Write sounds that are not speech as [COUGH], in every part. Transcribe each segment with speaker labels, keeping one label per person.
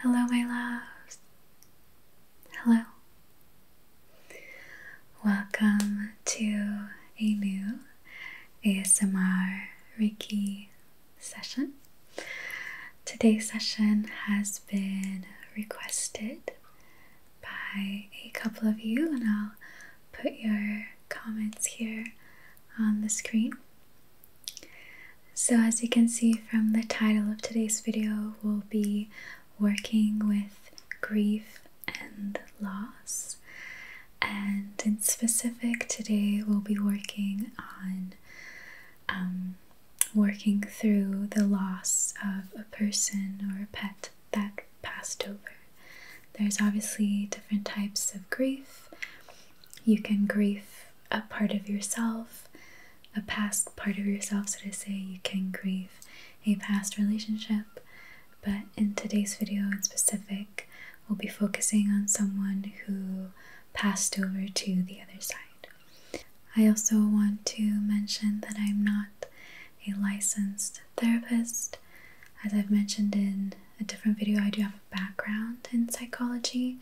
Speaker 1: Hello, my loves. Hello. Welcome to a new ASMR Reiki session. Today's session has been requested by a couple of you, and I'll put your comments here on the screen so, as you can see from the title of today's video, we'll be working with grief and loss. And in specific, today we'll be working on um, working through the loss of a person or a pet that passed over. There's obviously different types of grief. You can grief a part of yourself, a past part of yourself, so to say. You can grieve a past relationship, but in today's video in specific, we'll be focusing on someone who passed over to the other side. I also want to mention that I'm not a licensed therapist. As I've mentioned in a different video, I do have background in psychology.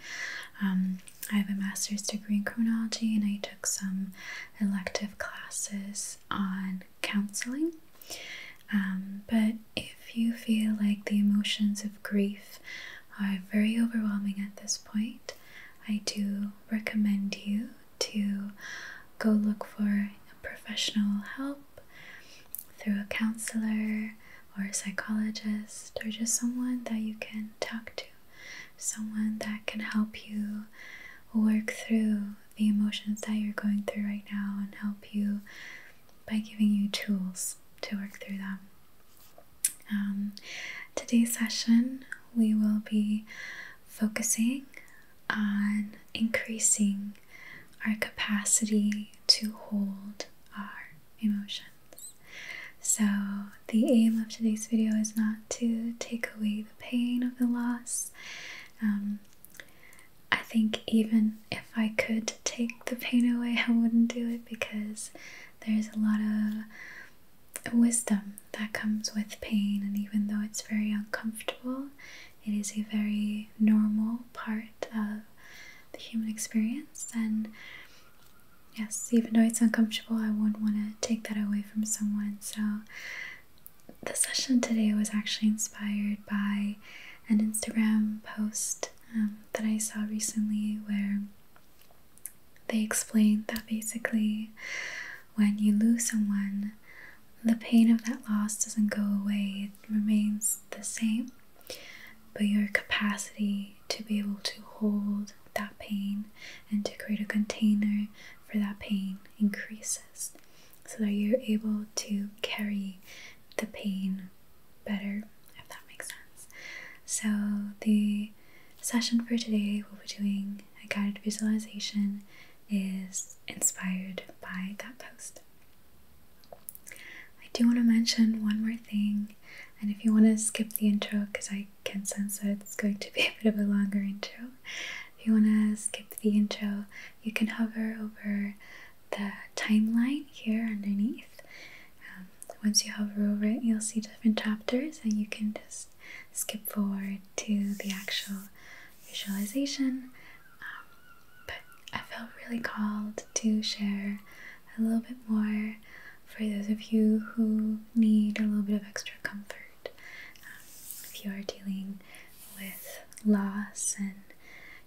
Speaker 1: Um, I have a master's degree in criminology, and I took some elective classes on counseling. Um, but if you feel like the emotions of grief are very overwhelming at this point, I do recommend you to go look for professional help through a counselor, or a psychologist or just someone that you can talk to, someone that can help you work through the emotions that you're going through right now and help you by giving you tools to work through them. Um, today's session, we will be focusing on increasing our capacity to hold our emotions. So, the aim of today's video is not to take away the pain of the loss. Um, I think even if I could take the pain away, I wouldn't do it because there's a lot of wisdom that comes with pain, and even though it's very uncomfortable, it is a very normal part of the human experience. And Yes, even though it's uncomfortable, I wouldn't want to take that away from someone. So, the session today was actually inspired by an Instagram post um, that I saw recently where they explained that basically when you lose someone, the pain of that loss doesn't go away, it remains the same. But your capacity to be able to hold that pain and to create a container for that pain increases so that you're able to carry the pain better, if that makes sense. So, the session for today, we'll be doing a guided visualization, is inspired by that post. I do want to mention one more thing, and if you want to skip the intro, because I can sense that it's going to be a bit of a longer intro, if you want to skip the intro, you can hover over the timeline here underneath. Um, once you hover over it, you'll see different chapters, and you can just skip forward to the actual visualization. Um, but I felt really called to share a little bit more for those of you who need a little bit of extra comfort. Um, if you are dealing with loss and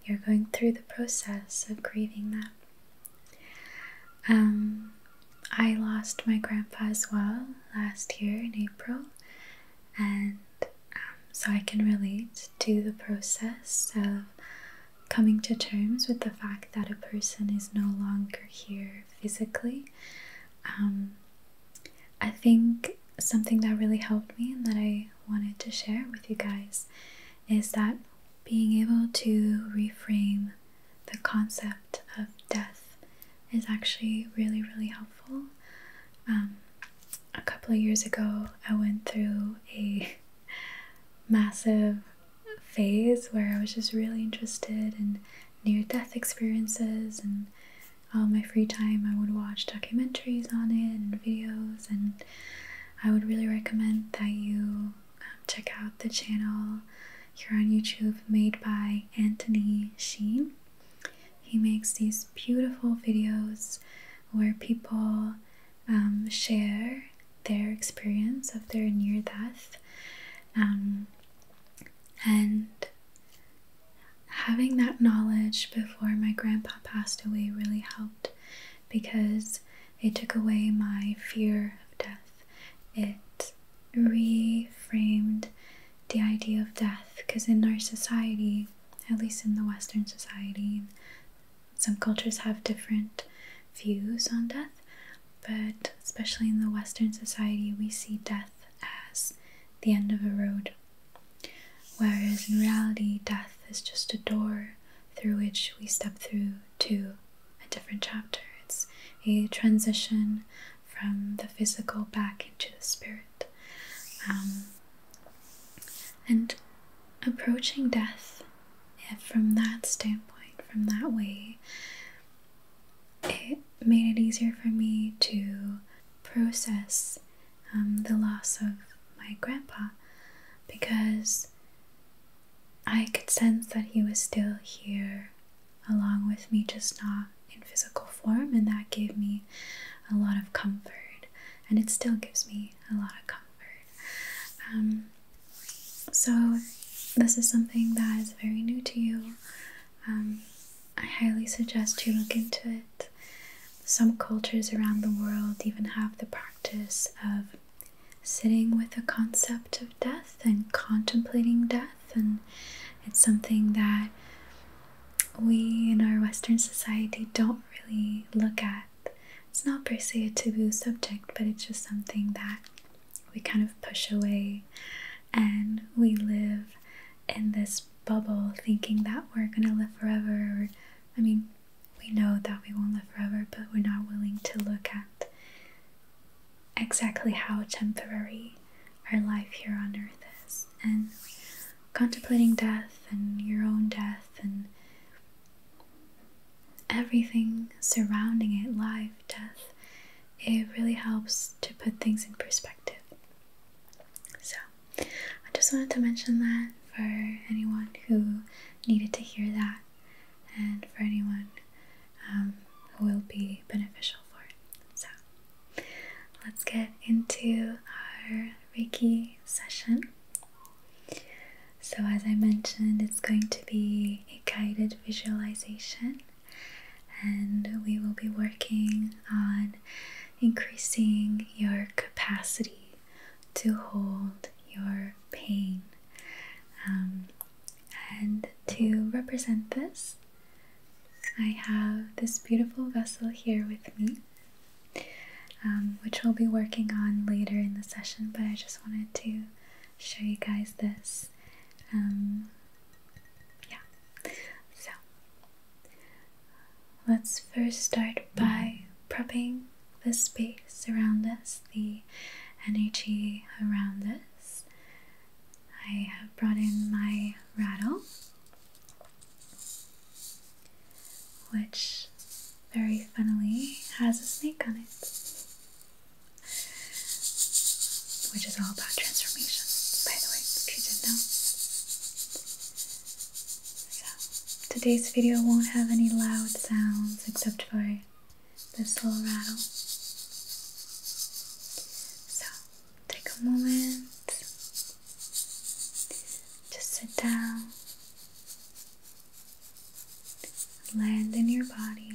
Speaker 1: you're going through the process of grieving that. Um, I lost my grandpa as well last year in April, and um, so I can relate to the process of coming to terms with the fact that a person is no longer here physically. Um, I think something that really helped me and that I wanted to share with you guys is that being able to reframe the concept of death is actually really, really helpful. Um, a couple of years ago, I went through a [LAUGHS] massive phase where I was just really interested in near death experiences, and all my free time I would watch documentaries on it and videos. And I would really recommend that you um, check out the channel here on YouTube made by Anthony Sheen. He makes these beautiful videos where people um, share their experience of their near death um, and having that knowledge before my grandpa passed away really helped because it took away my fear of death it reframed the idea of death because in our society at least in the western society some cultures have different views on death, but especially in the Western society, we see death as the end of a road. Whereas in reality, death is just a door through which we step through to a different chapter. It's a transition from the physical back into the spirit. Um, and approaching death if from that standpoint, from that way, it made it easier for me to process um, the loss of my grandpa because I could sense that he was still here along with me, just not in physical form, and that gave me a lot of comfort, and it still gives me a lot of comfort. Um, so, this is something that is very new to you. Um, I highly suggest you look into it. Some cultures around the world even have the practice of sitting with the concept of death and contemplating death, and it's something that we in our Western society don't really look at it's not per se a taboo subject, but it's just something that we kind of push away and we live in this bubble thinking that we're gonna live forever. I mean, we know that we won't live forever, but we're not willing to look at exactly how temporary our life here on earth is. And contemplating death and your own death and everything surrounding it, life, death, it really helps to put things in perspective. So, I just wanted to mention that for anyone who needed to hear that and for anyone um, who will be beneficial for it. So, let's get into our Reiki session. So, as I mentioned, it's going to be a guided visualization, and we will be working on increasing your capacity to hold your pain. Um, and to represent this, I have this beautiful vessel here with me. Um, which we'll be working on later in the session, but I just wanted to show you guys this. Um, yeah, so let's first start by prepping the space around us, the energy around us. I have brought in my rattle, which very funnily has a snake on it which is all about transformation, by the way, if you know. So, today's video won't have any loud sounds except for this little rattle. So, take a moment, just sit down land in your body.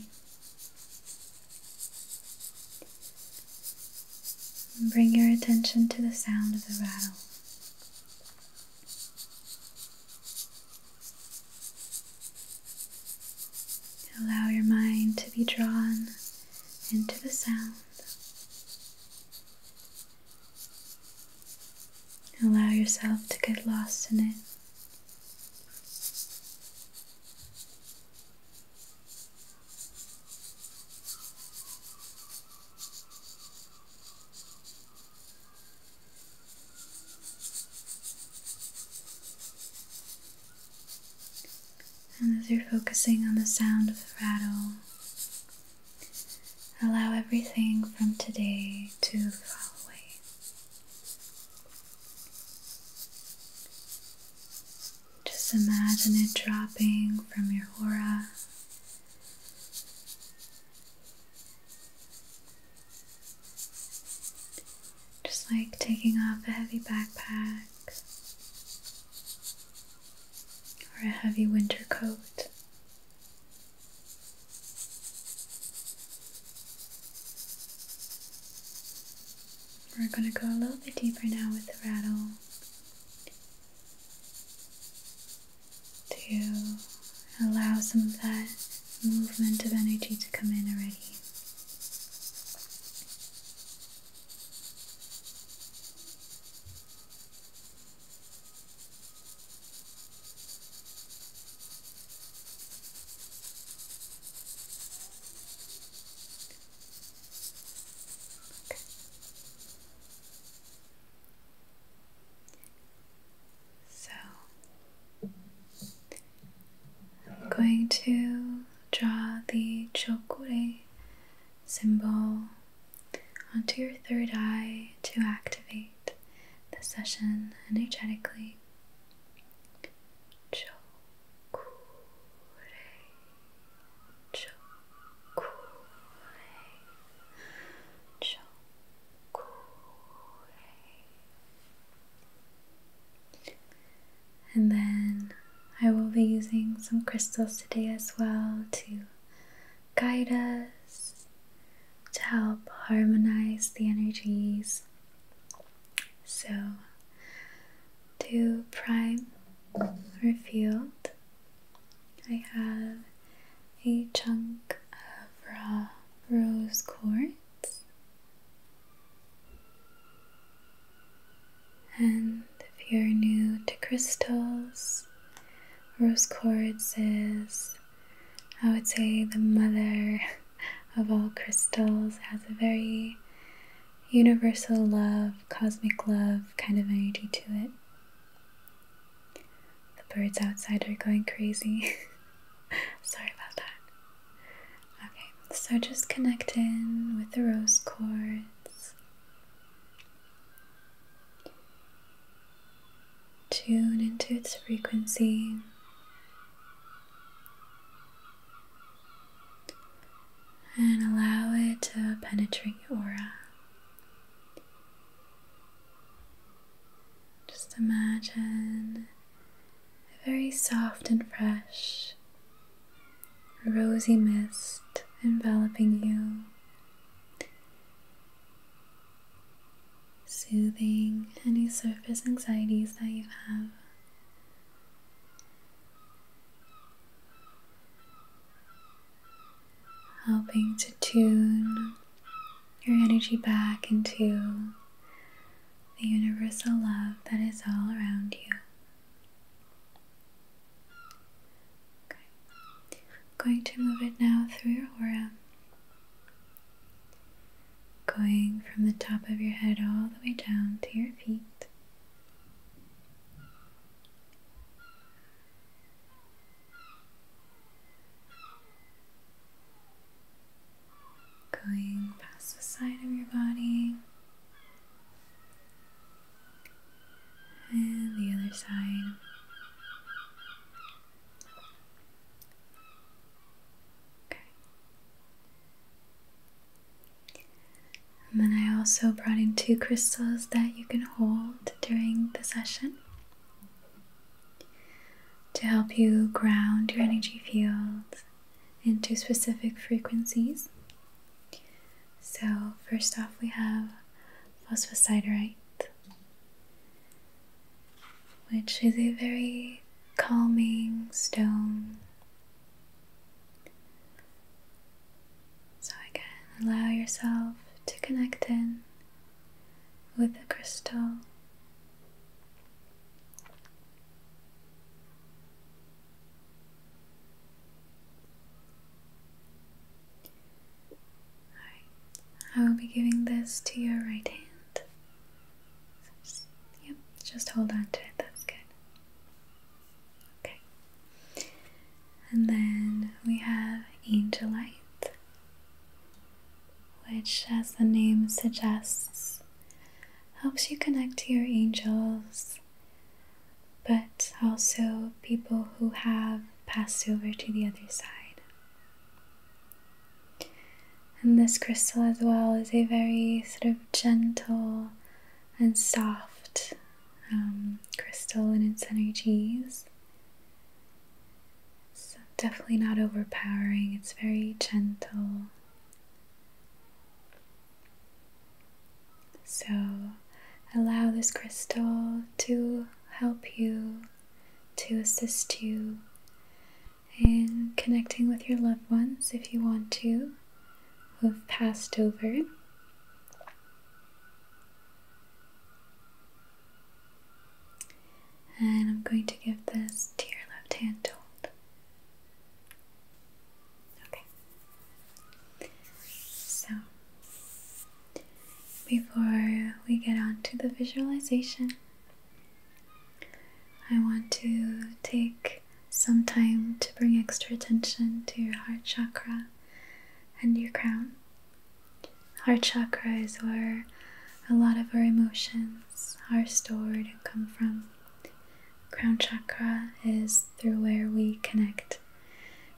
Speaker 1: And bring your attention to the sound of the rattle. Allow your mind to be drawn into the sound. Allow yourself to get lost in it and as you're focusing on the sound of the rattle, allow everything from today to fall away. Just imagine it dropping from your aura. Just like taking off a heavy backpack or a heavy winter coat. We're going to go a little bit deeper now with the rattle to allow some of that movement of energy to come in already. So I'm going to draw the chakra symbol onto your third eye to activate the session energetically. Chokure, chokure, chokure. And then I will be using some crystals today as well to guide us, to help harmonize the energies so, to prime our field, I have a chunk of raw rose quartz and if you're new to crystals, rose quartz is I would say the mother of all crystals, has a very universal love, cosmic love kind of energy to it. The birds outside are going crazy. [LAUGHS] Sorry about that. Okay, so just connect in with the rose cords. Tune into its frequency. And allow it to penetrate your aura. Just imagine a very soft and fresh, rosy mist enveloping you soothing any surface anxieties that you have. Helping to tune your energy back into the universal love that is all around you. Okay. going to move it now through your aura going from the top of your head all the way down to your feet. Going past the side of your body and the other side. And then I also brought in two crystals that you can hold during the session to help you ground your energy fields into specific frequencies. So, first off, we have phosphosiderite which is a very calming stone. So, again, allow yourself to connect in with the crystal. I will be giving this to your right hand. Yep. just, hold on to it, that's good. Okay. And then we have angel light, which, as the name suggests, helps you connect to your angels, but also people who have passed over to the other side. And this crystal as well is a very sort of gentle and soft um, crystal in its energies. So definitely not overpowering, it's very gentle. So allow this crystal to help you, to assist you and connecting with your loved ones if you want to, who have passed over. And I'm going to give this to your left hand to hold. Okay. So, before we get on to the visualization, I want to take some time to bring extra attention to your heart chakra and your crown. Heart chakras is where a lot of our emotions are stored and come from. Crown chakra is through where we connect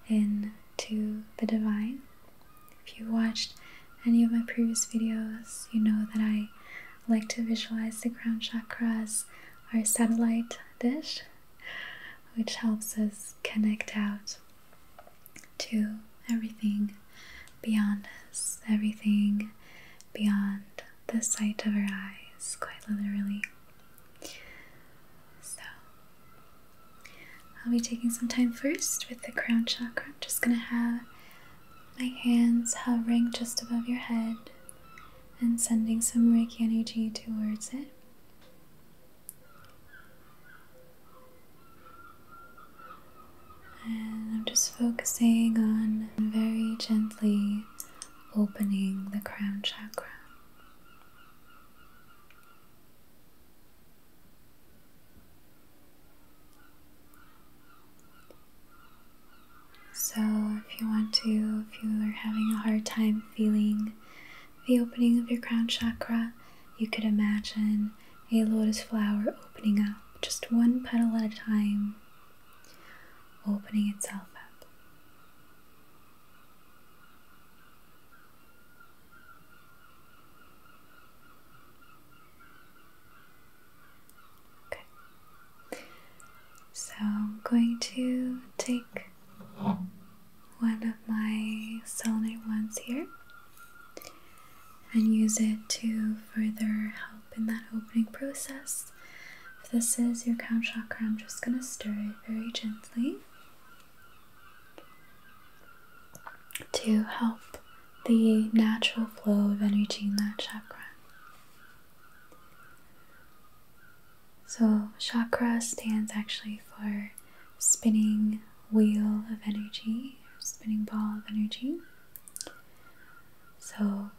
Speaker 1: in to the divine. If you watched any of my previous videos, you know that I like to visualize the crown chakra as our satellite dish, which helps us connect out to everything beyond us, everything beyond the sight of our eyes, quite literally. So, I'll be taking some time first with the crown chakra. I'm just going to have my hands hovering just above your head and sending some Reiki energy towards it. And I'm just focusing on very gently opening the crown chakra. So, if you want to, if you are having a hard time feeling the opening of your crown chakra, you could imagine a lotus flower opening up just one petal at a time, opening itself up. So I'm going to take one of my selenite ones here and use it to further help in that opening process. If this is your crown chakra, I'm just going to stir it very gently to help the natural flow of energy in that chakra. So, chakra stands actually for spinning wheel of energy, spinning ball of energy. So,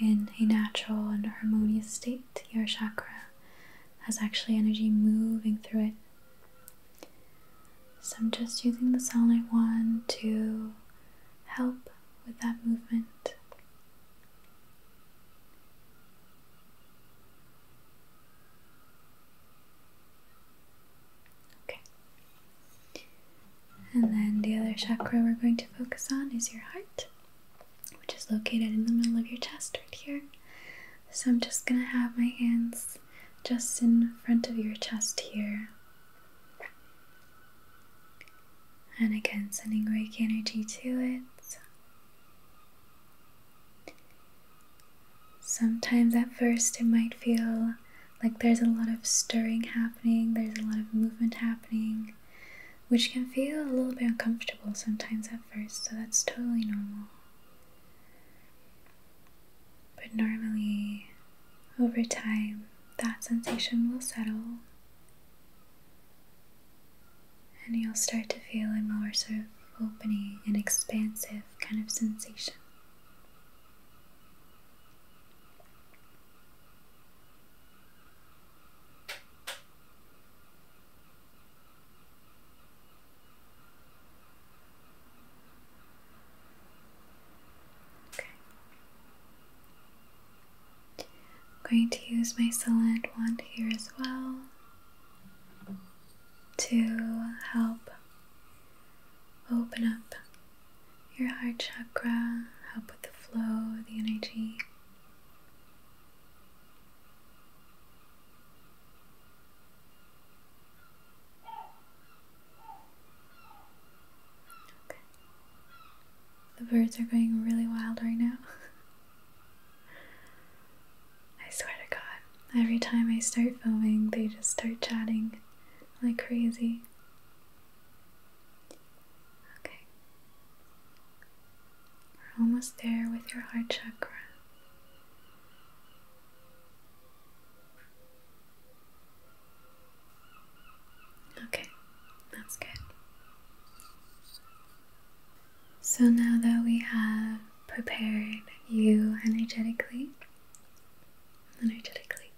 Speaker 1: in a natural and harmonious state, your chakra has actually energy moving through it. So, I'm just using the sunlight one, to help with that movement. Okay. And then the other chakra we're going to focus on is your heart, which is located in the middle of your chest right here. So I'm just going to have my hands just in front of your chest here, and again, sending Reiki energy to it. Sometimes at first it might feel like there's a lot of stirring happening, there's a lot of movement happening, which can feel a little bit uncomfortable sometimes at first, so that's totally normal. But normally, over time, that sensation will settle and you'll start to feel a more sort of opening and expansive kind of sensation. Okay. I'm going to use my Solent wand here as well to help open up your heart chakra, help with the flow, of the energy. Okay. The birds are going really wild right now. [LAUGHS] I swear to God, every time I start filming, they just start chatting like crazy. Okay. We're almost there with your heart chakra. Okay, that's good. So now that we have prepared you energetically, energetically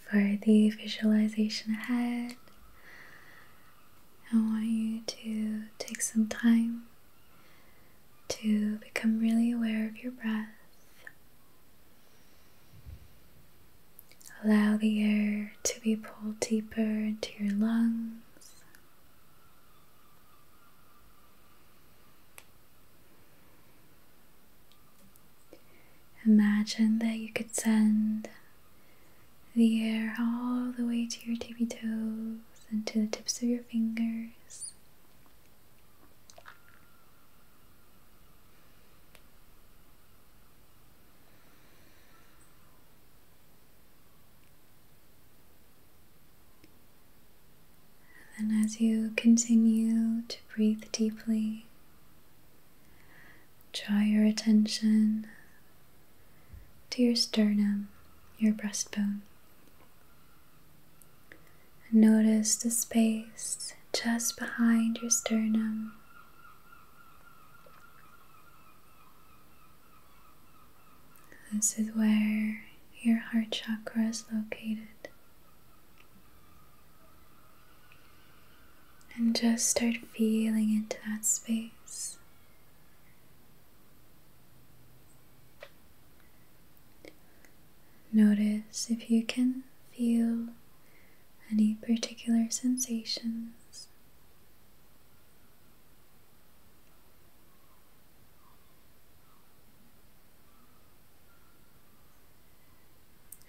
Speaker 1: for the visualization ahead, I want you to take some time to become really aware of your breath Allow the air to be pulled deeper into your lungs. Imagine that you could send the air all the way to your tippy toes and to the tips of your fingers. And then, as you continue to breathe deeply, draw your attention to your sternum, your breastbone notice the space just behind your sternum. This is where your heart chakra is located. And just start feeling into that space. Notice if you can feel any particular sensations.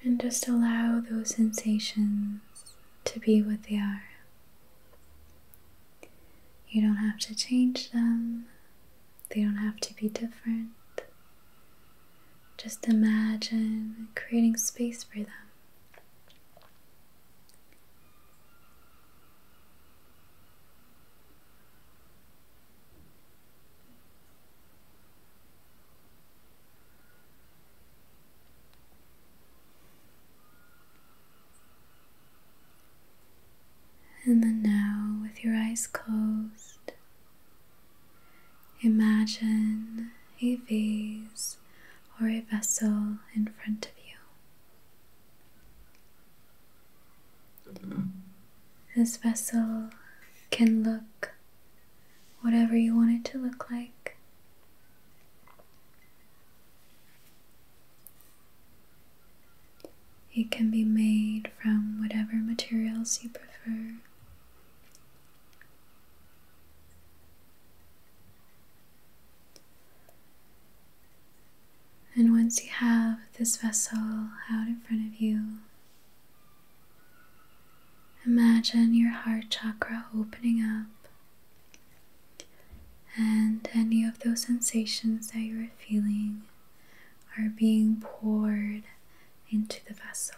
Speaker 1: And just allow those sensations to be what they are. You don't have to change them, they don't have to be different. Just imagine creating space for them. And then now, with your eyes closed, Imagine a vase or a vessel in front of you. This vessel can look whatever you want it to look like. It can be made from whatever materials you prefer. And once you have this vessel out in front of you, imagine your heart chakra opening up and any of those sensations that you are feeling are being poured into the vessel.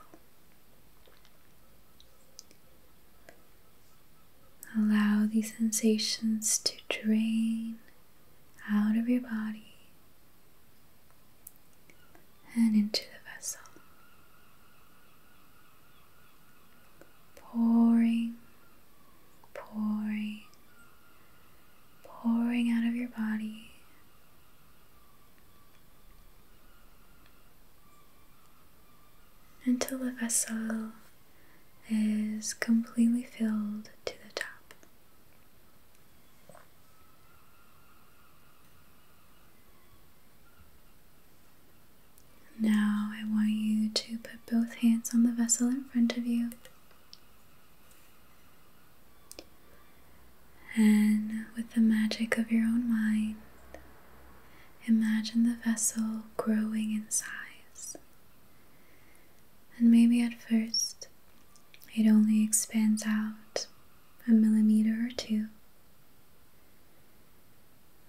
Speaker 1: Allow these sensations to drain out of your body and into the vessel, pouring, pouring, pouring out of your body until the vessel is completely filled to the top. Now, I want you to put both hands on the vessel in front of you and with the magic of your own mind, imagine the vessel growing in size. And maybe at first it only expands out a millimeter or two.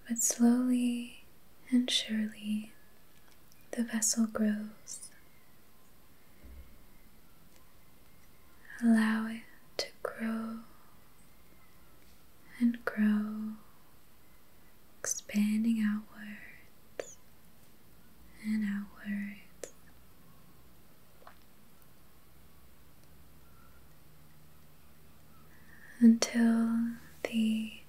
Speaker 1: But slowly and surely the vessel grows Allow it to grow and grow, expanding outwards and outwards. Until the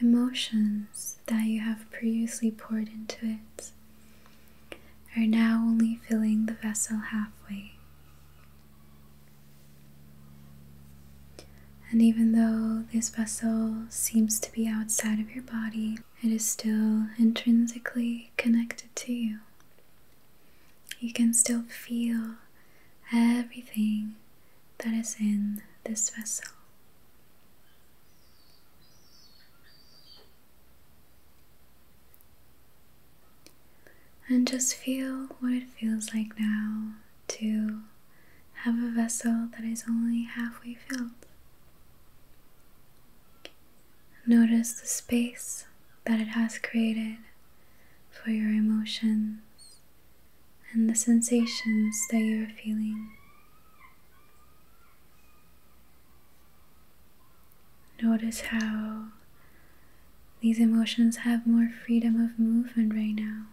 Speaker 1: emotions that you have previously poured into it are now only filling the vessel halfway. And even though this vessel seems to be outside of your body, it is still intrinsically connected to you. You can still feel everything that is in this vessel. And just feel what it feels like now to have a vessel that is only halfway filled. Notice the space that it has created for your emotions and the sensations that you are feeling. Notice how these emotions have more freedom of movement right now,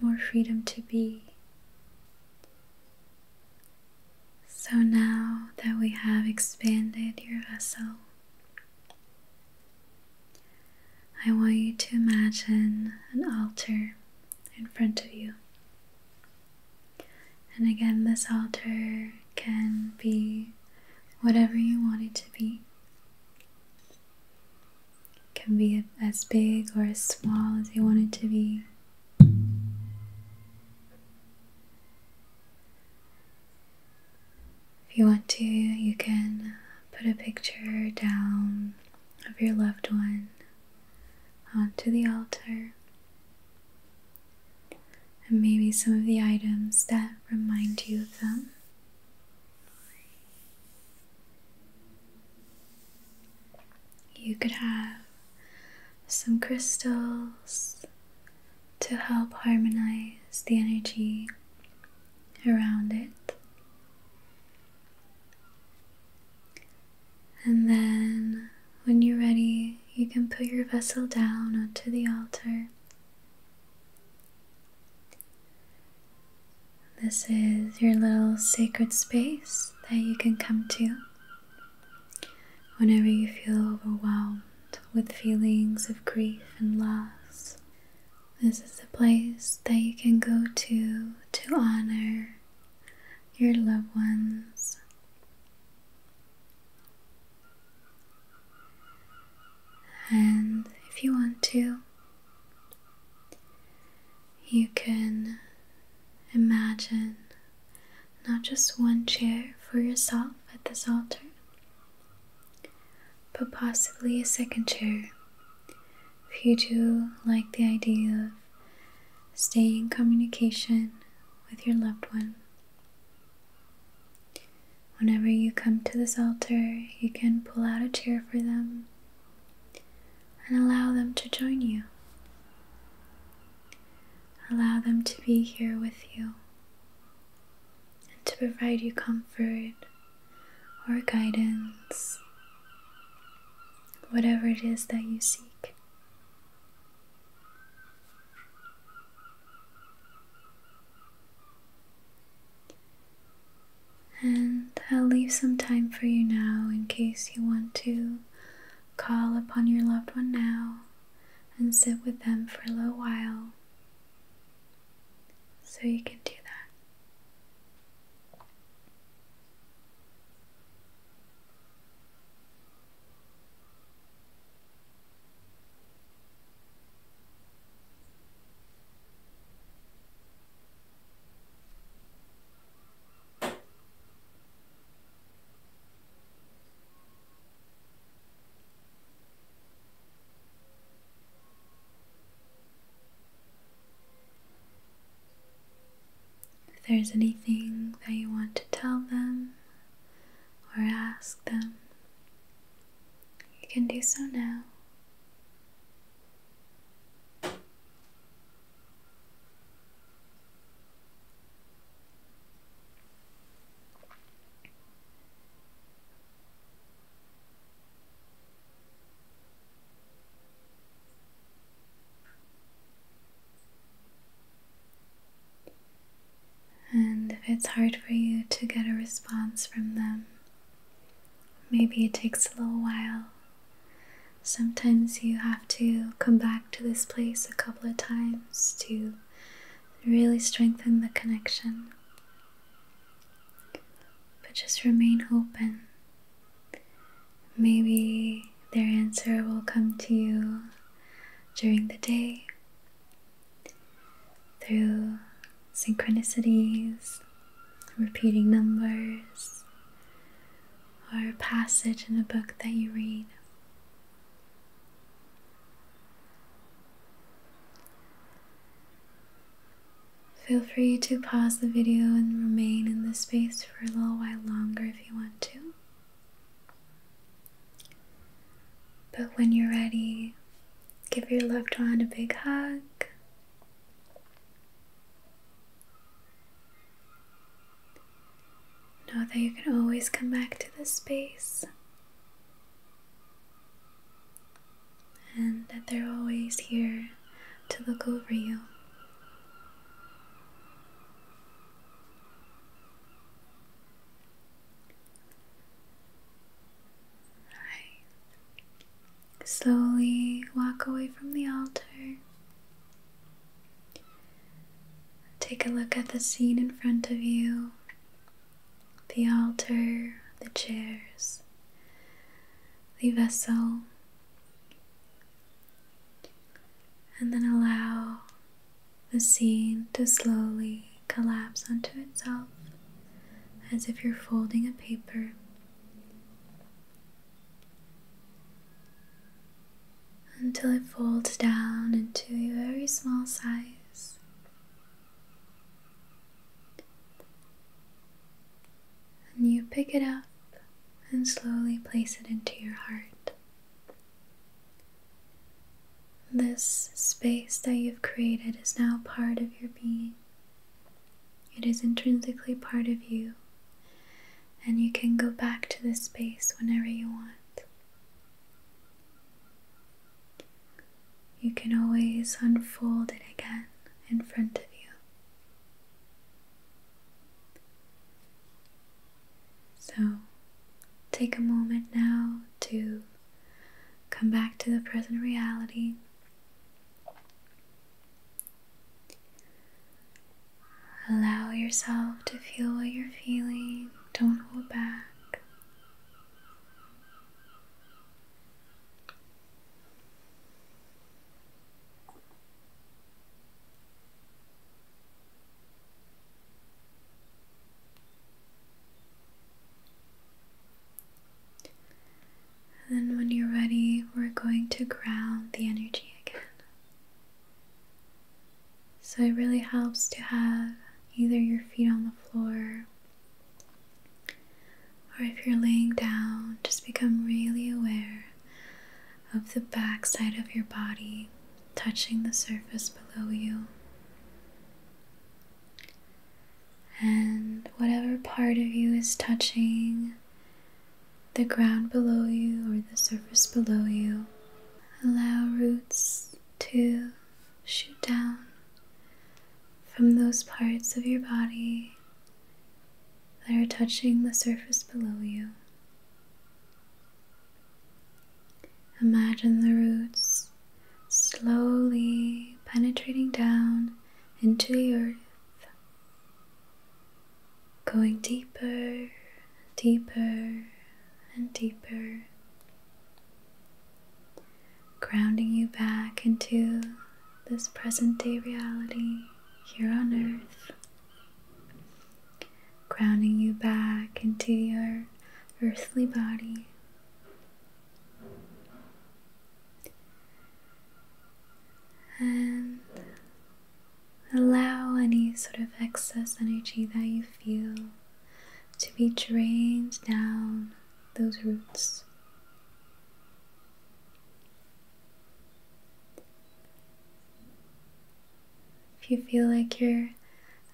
Speaker 1: more freedom to be. So now that we have expanded your vessel, I want you to imagine an altar in front of you. And again, this altar can be whatever you want it to be. can be as big or as small as you want it to be. If you want to, you can put a picture down of your loved one onto the altar and maybe some of the items that remind you of them. You could have some crystals to help harmonize the energy around it. And then, when you're ready, you can put your vessel down onto the altar. This is your little sacred space that you can come to whenever you feel overwhelmed with feelings of grief and loss. This is the place that you can go to to honor your loved ones. And if you want to, you can imagine not just one chair for yourself at this altar, but possibly a second chair if you do like the idea of staying in communication with your loved one. Whenever you come to this altar, you can pull out a chair for them and allow them to join you. Allow them to be here with you and to provide you comfort or guidance, whatever it is that you seek. And I'll leave some time for you now in case you want to call upon your loved one now and sit with them for a little while. So you can do that. If there's anything that you want to tell them, or ask them. You can do so now. And if it's hard for you to get a response from them, maybe it takes a little while. Sometimes you have to come back to this place a couple of times to really strengthen the connection. But just remain open. Maybe their answer will come to you during the day through synchronicities, repeating numbers, or a passage in a book that you read. Feel free to pause the video and remain in this space for a little while longer if you want to. But when you're ready, give your loved one a big hug. Know that you can always come back to this space and that they're always here to look over you. Slowly walk away from the altar. Take a look at the scene in front of you the altar, the chairs, the vessel. And then allow the scene to slowly collapse onto itself as if you're folding a paper. Until it folds down into a very small size. And you pick it up and slowly place it into your heart. This space that you've created is now part of your being. It is intrinsically part of you, and you can go back to this space whenever you want. You can always unfold it again in front of you. So, take a moment now to Come back to the present reality. Allow yourself to feel what you're feeling. Don't hold back. And then, when you're ready, we're going to ground the energy again. So, it really helps to have either your feet on the floor or if you're laying down, just become really aware of the backside of your body touching the surface below you. And whatever part of you is touching the ground below you or the surface below you, allow roots to shoot down from those parts of your body that are touching the surface below you. Imagine the roots slowly penetrating down into the earth, going deeper, and deeper, and deeper, grounding you back into this present day reality here on earth, grounding you back into your earthly body. And allow any sort of excess energy that you feel to be drained down those roots. If you feel like you're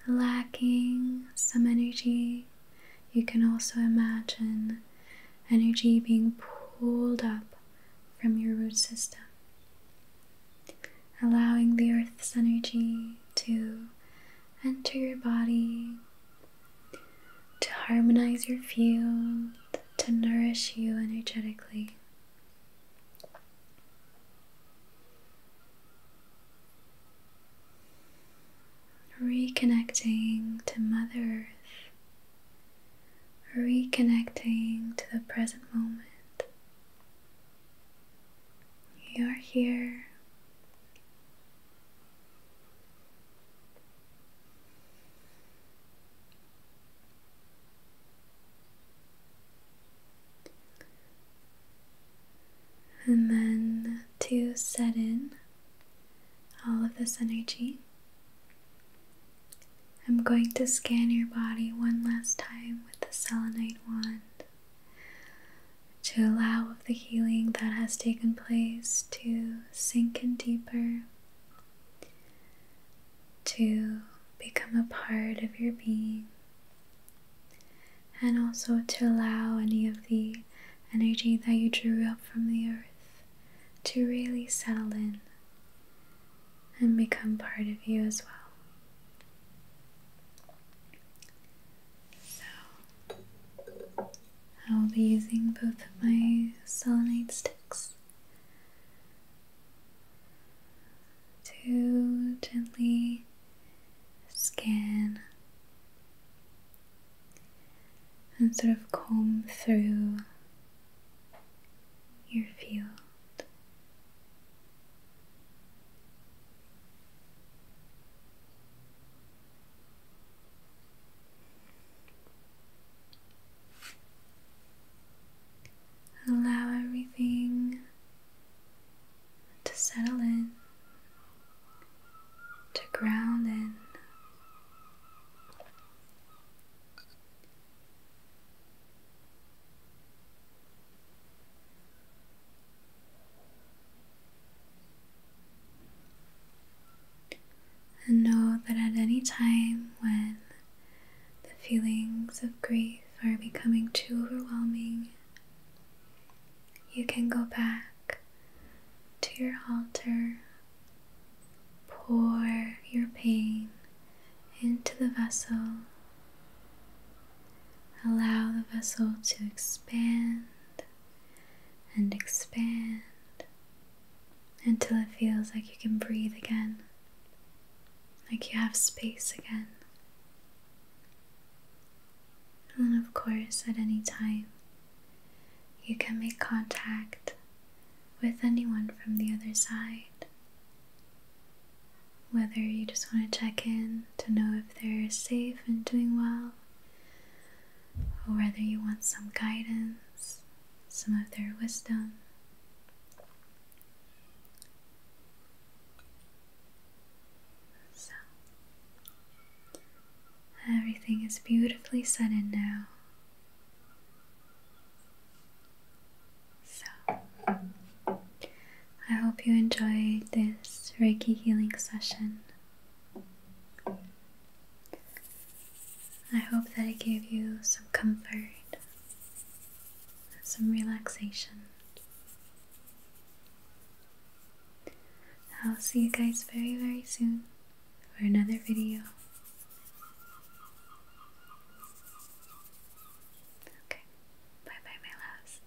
Speaker 1: lacking some energy, you can also imagine energy being pulled up from your root system, allowing the earth's energy to enter your body, to harmonize your field, to nourish you energetically reconnecting to Mother Earth, reconnecting to the present moment. You're here. And then to set in all of this energy, I'm going to scan your body one last time with the selenite wand to allow of the healing that has taken place to sink in deeper, to become a part of your being and also to allow any of the energy that you drew up from the earth to really settle in and become part of you as well. So, I will be using both of my selenite sticks to gently skin and sort of comb through your field. Allow everything to settle in to ground in. And know that at any time when the feelings of grief are becoming too overwhelming, you can go back to your altar, pour your pain into the vessel, allow the vessel to expand and expand until it feels like you can breathe again, like you have space again. And of course, at any time, you can make contact with anyone from the other side. Whether you just want to check in to know if they're safe and doing well, or whether you want some guidance, some of their wisdom. So, everything is beautifully set in now. So, I hope you enjoyed this Reiki healing session. I hope that it gave you some comfort, some relaxation, I'll see you guys very, very soon for another video. Okay, bye bye, my loves.